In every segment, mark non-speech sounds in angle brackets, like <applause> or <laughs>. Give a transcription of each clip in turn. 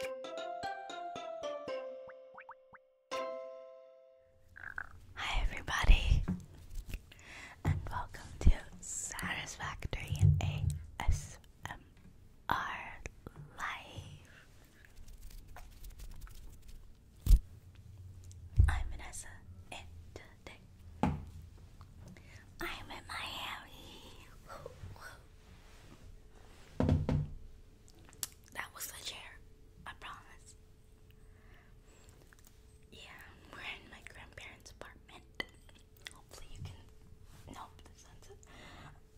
Hi, everybody, and welcome to Satisfactory ASMR Live. I'm Vanessa, and today I'm in Miami. That was the chair, I promise. Yeah, we're in my grandparents' apartment. Hopefully you can nope the sunset.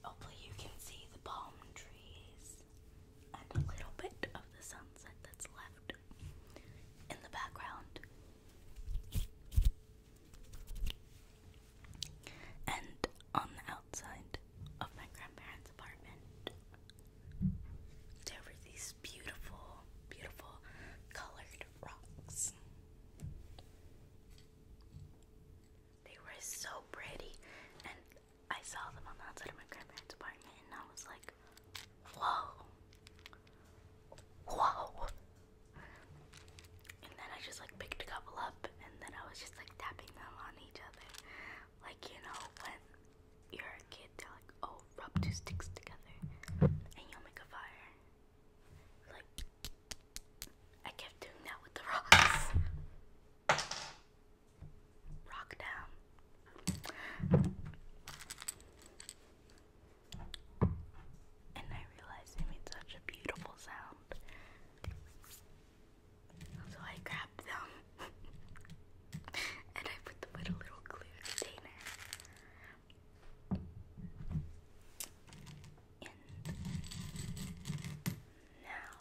Hopefully you can see the palm trees and a little bit of the sunset that's left in the background and on the outside of my grandparents' apartment, there were these beautiful, beautiful colored rocks. They were so pretty, and I saw them on the outside of my grandparents' apartment, and I was like, whoa, whoa, and then I just like picked a couple up and then I was just like tapping them on each other. Like, you know, when you're a kid, they're like, oh, rub two sticks together and you'll make a fire. Like, I kept doing that with the rocks. Rock down. And I realized it made such a beautiful sound. So I grabbed them <laughs> and I put them with a little glue container. And now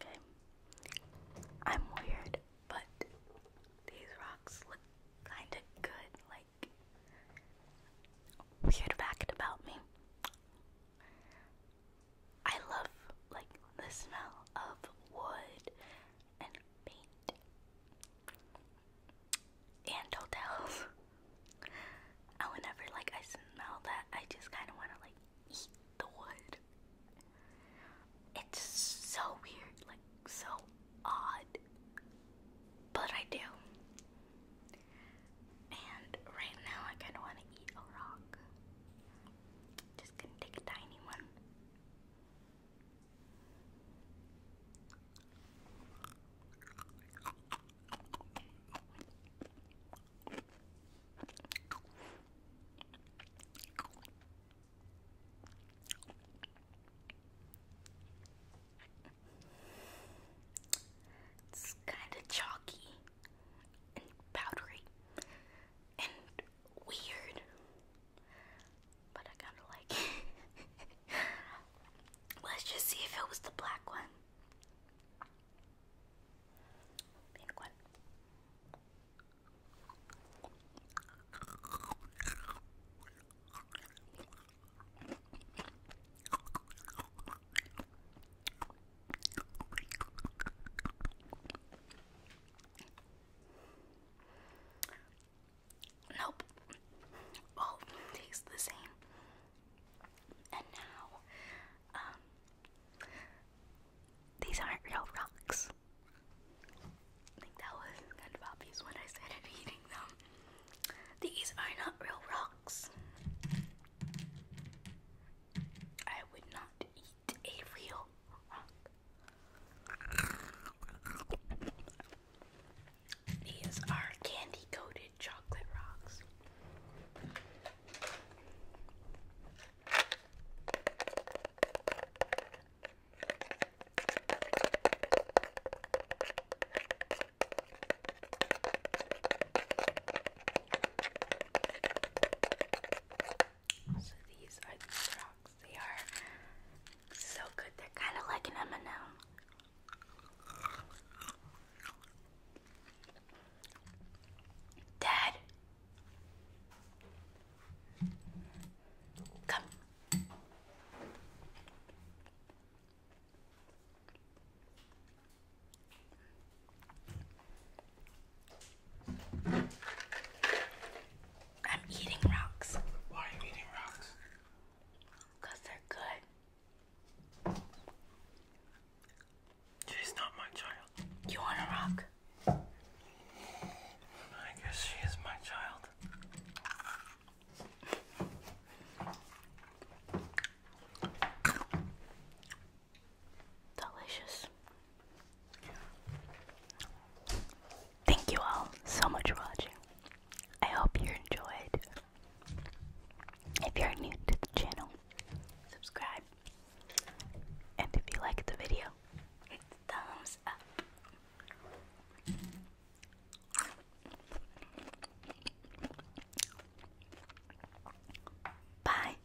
Okay. I'm weird, but these rocks look kind of good, like weird fact about me. I love like the smell of wood and paint and hotels. And <laughs> whenever like I smell that, I just kind of want to like eat the wood. It's so weird, like so odd, but I do. And right now, I kind of want to eat a rock. Just gonna take a tiny one. It's kind of chalky and powdery and weird, but I kind of like <laughs> Let's just see if it was the black one. Pink one. Nope. All tastes the same. And now, um, these aren't real rocks. think that was obvious when I started <laughs> eating them. These are not real rocks. I would not eat these are candy coated chocolate rocks. So these are the rocks. They are so good. They're kind of like an M&M. Dad, come. I'm eating rocks. Why are you eating rocks? Because they're good. She's not my child. You want a rock? I guess she is my child. Delicious. Thank you all so much for watching. I hope you enjoyed. If you're new to the channel, subscribe. And if you like the video, hit thumbs up. Bye.